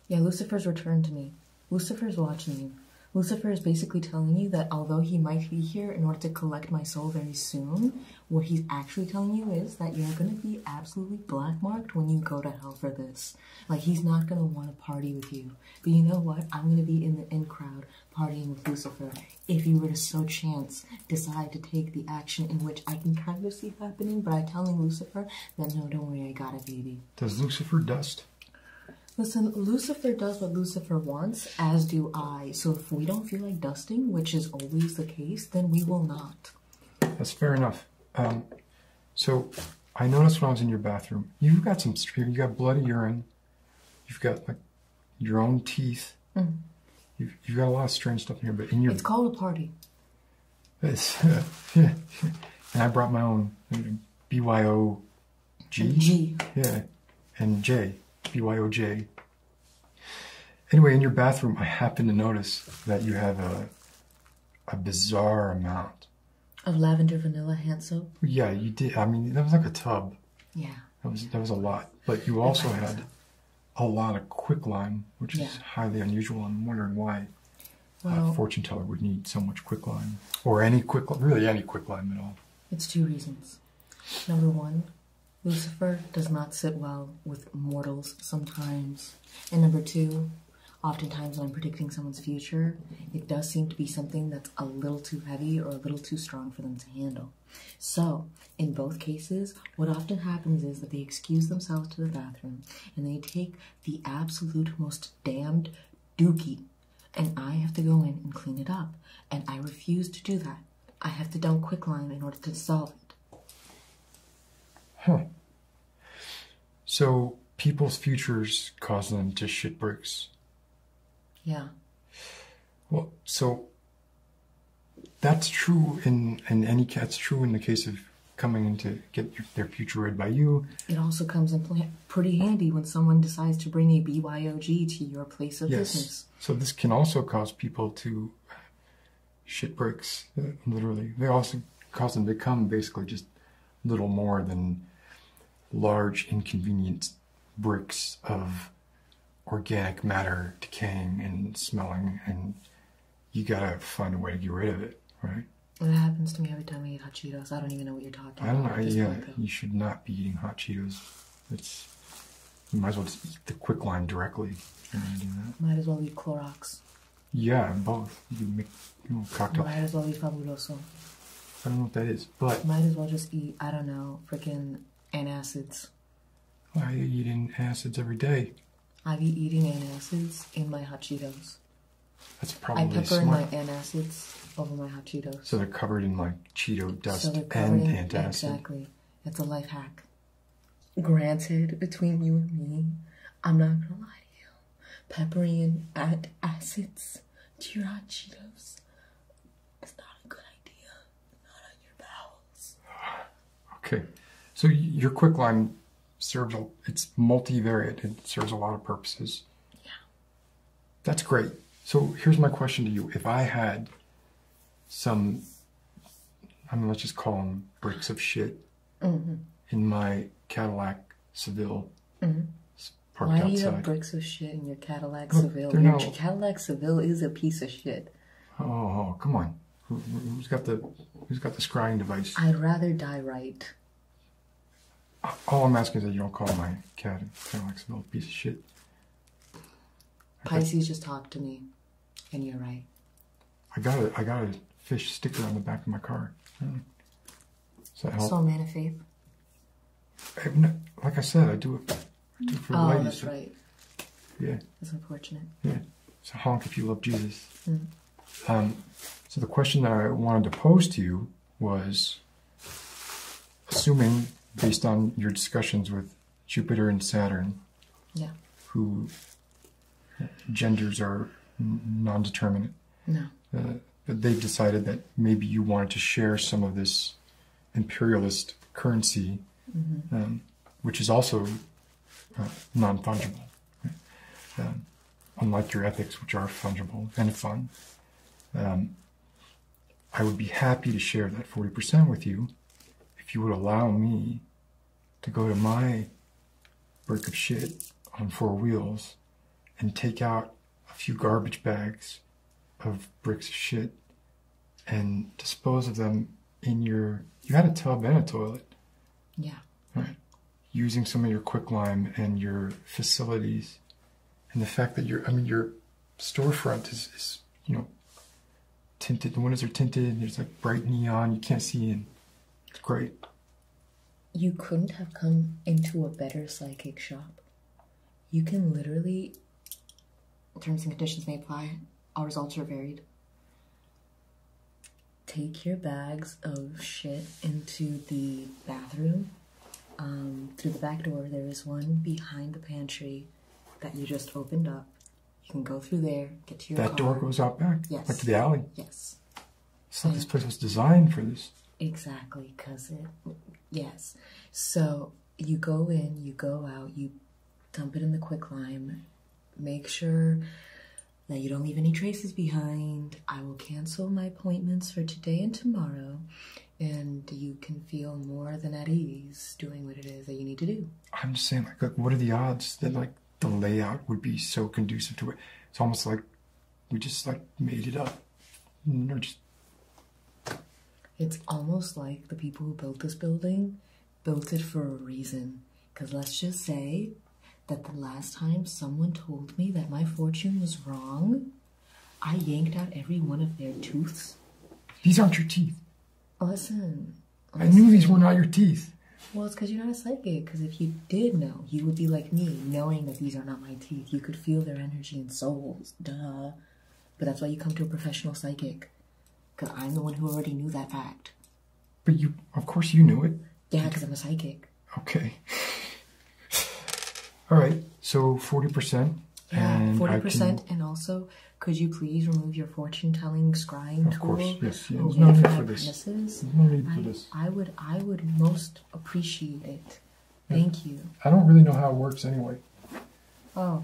S1: Yeah, Lucifer's returned to me. Lucifer is watching you. Lucifer is basically telling you that although he might be here in order to collect my soul very soon, what he's actually telling you is that you're gonna be absolutely black marked when you go to hell for this. Like, he's not gonna wanna party with you. But you know what? I'm gonna be in the in crowd partying with Lucifer. If you were to so chance decide to take the action in which I can kind of see happening, but I'm telling Lucifer that no, don't worry, I got it, baby.
S2: Does Lucifer dust?
S1: Listen, Lucifer does what Lucifer wants, as do I. So if we don't feel like dusting, which is always
S2: the case, then we will not. That's fair enough. Um, so I noticed when I was in your bathroom, you've got some, you got bloody urine, you've got like your own teeth, mm-hmm. you've, got a lot of strange stuff in here, but in your... It's called a party. It's, uh, yeah. And I brought my own BYO G? G. Yeah, and J, B-Y-O-J. Anyway, in your bathroom, I happen to notice that you have a, a bizarre amount.
S1: Of lavender vanilla hand soap?
S2: Yeah, you did. I mean, that was like a tub. Yeah. That was, that was a lot. But you also had a lot of quicklime, which is yeah. highly unusual. I'm wondering why well, a fortune teller would need so much quicklime, or any quick, really any quicklime at all. It's two reasons. Number one,
S1: Lucifer does not sit well with mortals sometimes. And number two, oftentimes when I'm predicting someone's future, it does seem to be something that's a little too heavy or a little too strong for them to handle. So, in both cases, what often happens is that they excuse themselves to the bathroom and they take the absolute most damned dookie and I have to go in and clean it up. And I refuse to do that. I have to dump quicklime in order to solve it.
S2: Huh. So people's futures cause them to shit bricks. Yeah. Well, so that's true in in any that's true in the case of coming in to get their future read by you.
S1: It also comes in play pretty handy when someone decides to bring a BYOG to your place of yes. business.
S2: So this can also cause people to shit bricks, uh, literally. They also cause them to become basically just little more than large, inconvenient bricks of organic matter decaying and smelling, and you gotta find a way to get rid of it, right?
S1: That happens to me every time I eat hot Cheetos. I don't even know what you're talking I don't Know, yeah,
S2: you should not be eating hot Cheetos. It's you might as well just eat the quick lime directly.
S1: Might as well eat Clorox. Yeah,
S2: both. You make you Might
S1: as well eat fabuloso.
S2: I don't know what that is, but
S1: might as well just eat. I don't know, freaking an acids.
S2: Why are you eating acids every day.
S1: I be eating an acids in my hot Cheetos.
S2: That's probably I pepper smart.
S1: in my antacids over
S2: my hot Cheetos. So they're covered in like Cheeto dust and antacid. Exactly.
S1: It's a life hack. Granted, between you and me, I'm not gonna lie to you. Peppery and acids to your hot Cheetos is not a good idea.
S2: Not on your bowels. Okay. So your quicklime serves a, it's multivariate. It serves a lot of purposes. Yeah. That's great. So here's my question to you. If I had some, I mean, let's just call them bricks of shit mm-hmm. in my Cadillac Seville mm-hmm. parked Why outside. Why do you have
S1: bricks of shit in your Cadillac Look, Seville? Your Cadillac Seville is a piece of shit.
S2: Oh, come on. Who, has got the Who's got the scrying device? I'd
S1: rather die right.
S2: All I'm asking is that you don't call my Cadillac Seville piece of shit.
S1: Pisces just talked to me, and you're right.
S2: I got a, I got a fish sticker on the back of my car. So hmm. Does that help? man of faith. like I said, I do it, for oh, that's right. Yeah. it's unfortunate. Yeah. So honk if you love Jesus. Hmm. Um, so the question that I wanted to pose to you was assuming based on your discussions with Jupiter and Saturn, who genders are non-determinate. Uh, they've decided that maybe you wanted to share some of this imperialist currency, mm-hmm. um, which is also uh, non-fungible, um, unlike your ethics, which are fungible and fun. Um, I would be happy to share that 40% with you if you would allow me to go to my brick of shit on four wheels and take out a few garbage bags of bricks of shit and dispose of them in your you had a tub and a toilet. Yeah. Right. Using some of your quicklime and your facilities and the fact that your I mean your storefront is, you know tinted. The windows are tinted. There's like bright neon. You can't see in. It's great. You
S1: couldn't have come into a better psychic shop. You can literally. Terms and conditions may apply. All results are varied. Take your bags of shit into the bathroom. Um, through the back door, there is one behind the pantry that you just opened up. You can go through there, get to your That door goes out back? Yes. to the alley? Yes.
S2: It's this place was designed for this.
S1: Exactly, because it, yes. So you go in, you go out, you dump it in the quicklime, make sure that you don't leave any traces behind. I will cancel my appointments for today and tomorrow, and you can feel more than at ease doing
S2: what it is that you need to do. I'm just saying, like, like what are the odds that like the layout would be so conducive to it? It's almost like we just like made it up. Or just...
S1: It's almost like the people who built this building built it for a reason. Because let's just say that the last time someone told me that my fortune was wrong, I yanked out every one of their teeth.
S2: These aren't your teeth. Listen.
S1: I knew these were not your teeth. Well, it's because you're not a psychic. Because if you did know, you would be like me, knowing that these are not my teeth. You could feel their energy and souls. Duh. But that's why you come to a professional psychic. Because I'm the one who already knew that fact.
S2: But you, of course, you knew it.
S1: Yeah, because I'm a psychic.
S2: Okay. All right. So 40%. Yeah, 40%.
S1: And also could you please remove your fortune-telling scrying of Of course, yes. Yeah, no need for this.
S2: no need for I, this. I would, I would most appreciate it. Thank you. I don't really know how it works anyway. Oh.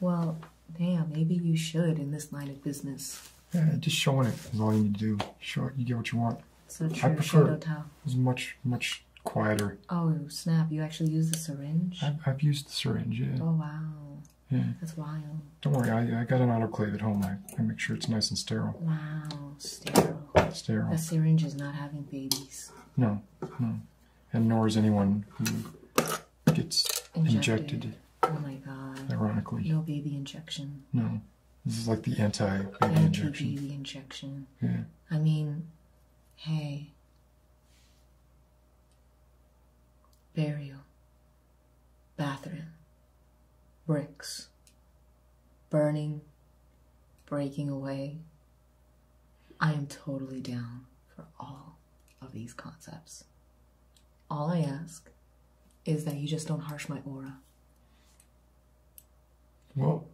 S1: Well, damn. Maybe you should in this line of business.
S2: Yeah, just showing it is all you need to do. Show you get what you want. I prefer as much, much quieter.
S1: Oh snap! You actually use the syringe. I've, used the syringe.
S2: Yeah. Oh wow. Yeah. That's wild. Don't worry, I, I got an autoclave at home. I, I make sure it's nice and sterile. Wow, sterile. Sterile. The
S1: syringe is not having babies.
S2: No, no, and nor is anyone who gets injected. oh my god. Ironically. No baby injection. No. This is like the anti-baby injection. Anti-baby injection. Yeah.
S1: I mean, hey, burial, bathroom, bricks, burning, breaking away. I am totally down for all of these concepts. All I ask is that you just don't harsh my aura. Well,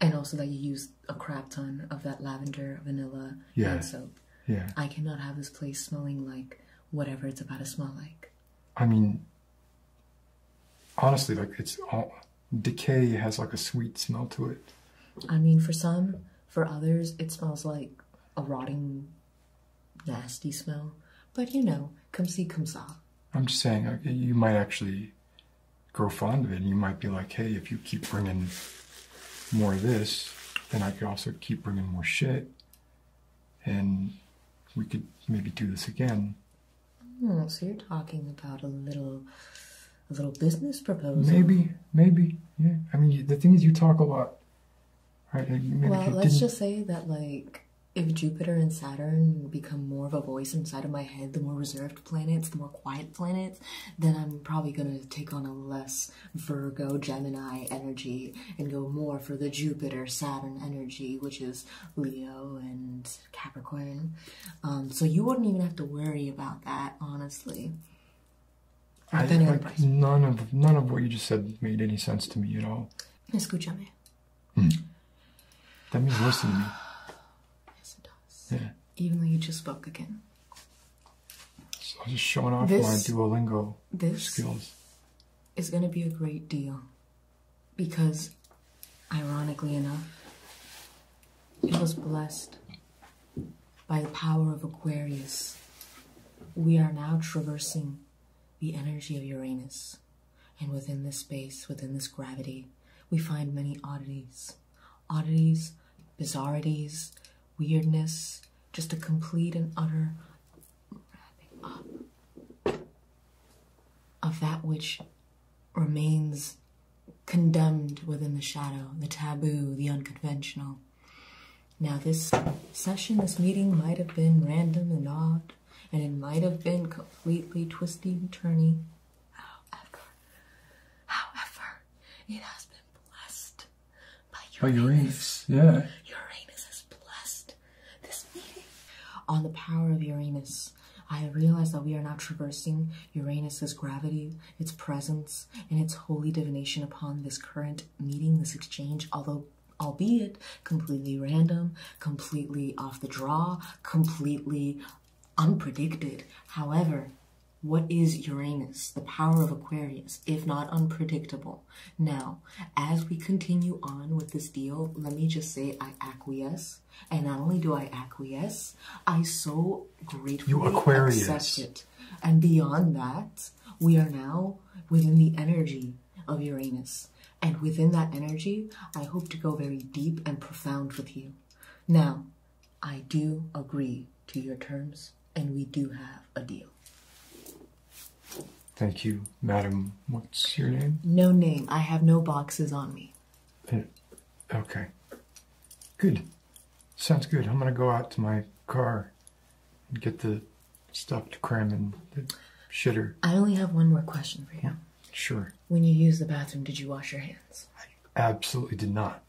S1: and also that you use a crap ton of that lavender, vanilla, soap. Yeah. I cannot have this place smelling like whatever it's about to smell like.
S2: I mean, honestly, like it's all decay has like a sweet smell to it.
S1: I mean, for some, for others, it smells like a rotting, nasty smell. But you know, come see, come see.
S2: I'm just saying, you might actually grow fond of it. And you might be like, hey, if you keep bringing more of this, then I could also keep bringing more shit. And we could maybe do this again.
S1: Hmm, so you're talking about a little, a little business proposal. Maybe,
S2: maybe, yeah. I mean, the thing is, you talk a lot. well, let's just
S1: say that, like, if Jupiter and Saturn become more of a voice inside of my head, the more reserved planets, the more quiet planets, then I'm probably going to take on a less Virgo Gemini energy and go more for the Jupiter Saturn energy, which is Leo and Capricorn. Um, so you wouldn't even have to worry about that, honestly.
S2: none of none of what you just said made any sense to me at all.
S1: Escúchame. Hmm.
S2: That means listen to me. yes, it does.
S1: Even though you just spoke again.
S2: So I'm just showing off my Duolingo this skills.
S1: Is going to be a great deal because, ironically enough, it was blessed by the power of Aquarius. We are now traversing the energy of Uranus, and within this space, within this gravity, we find many oddities oddities, bizarrities, weirdness, just a complete and utter wrapping uh, up of that which remains condemned within the shadow, the taboo, the unconventional. Now, this session, this meeting might have been random and odd, and it might have been completely twisty and turning. However, however, it has been blessed
S2: by Uranus. By Uranus, yeah. Uranus has blessed
S1: this meeting. On the power of Uranus, I realize that we are now traversing Uranus's gravity, its presence, and its holy divination upon this current meeting, this exchange, although albeit completely random, completely off the draw, completely unpredicted. However, what is Uranus, the power of Aquarius, if not unpredictable? Now, as we continue on with this deal, let me just say I acquiesce. And not only do I acquiesce, I so gratefully accept it. And beyond that, we are now within the energy of Uranus. And within that energy, I hope to go very deep and profound with you. Now, I do agree to your terms, and we do have a deal.
S2: Thank you, madam. What's your name?
S1: No name. I have no boxes on me.
S2: Uh, okay. Good. Sounds good. I'm going to go out to my car and get the stuff to cram in the shitter. I only have
S1: one more question for
S2: you. Sure.
S1: When you used the bathroom, did you wash your hands?
S2: absolutely did not.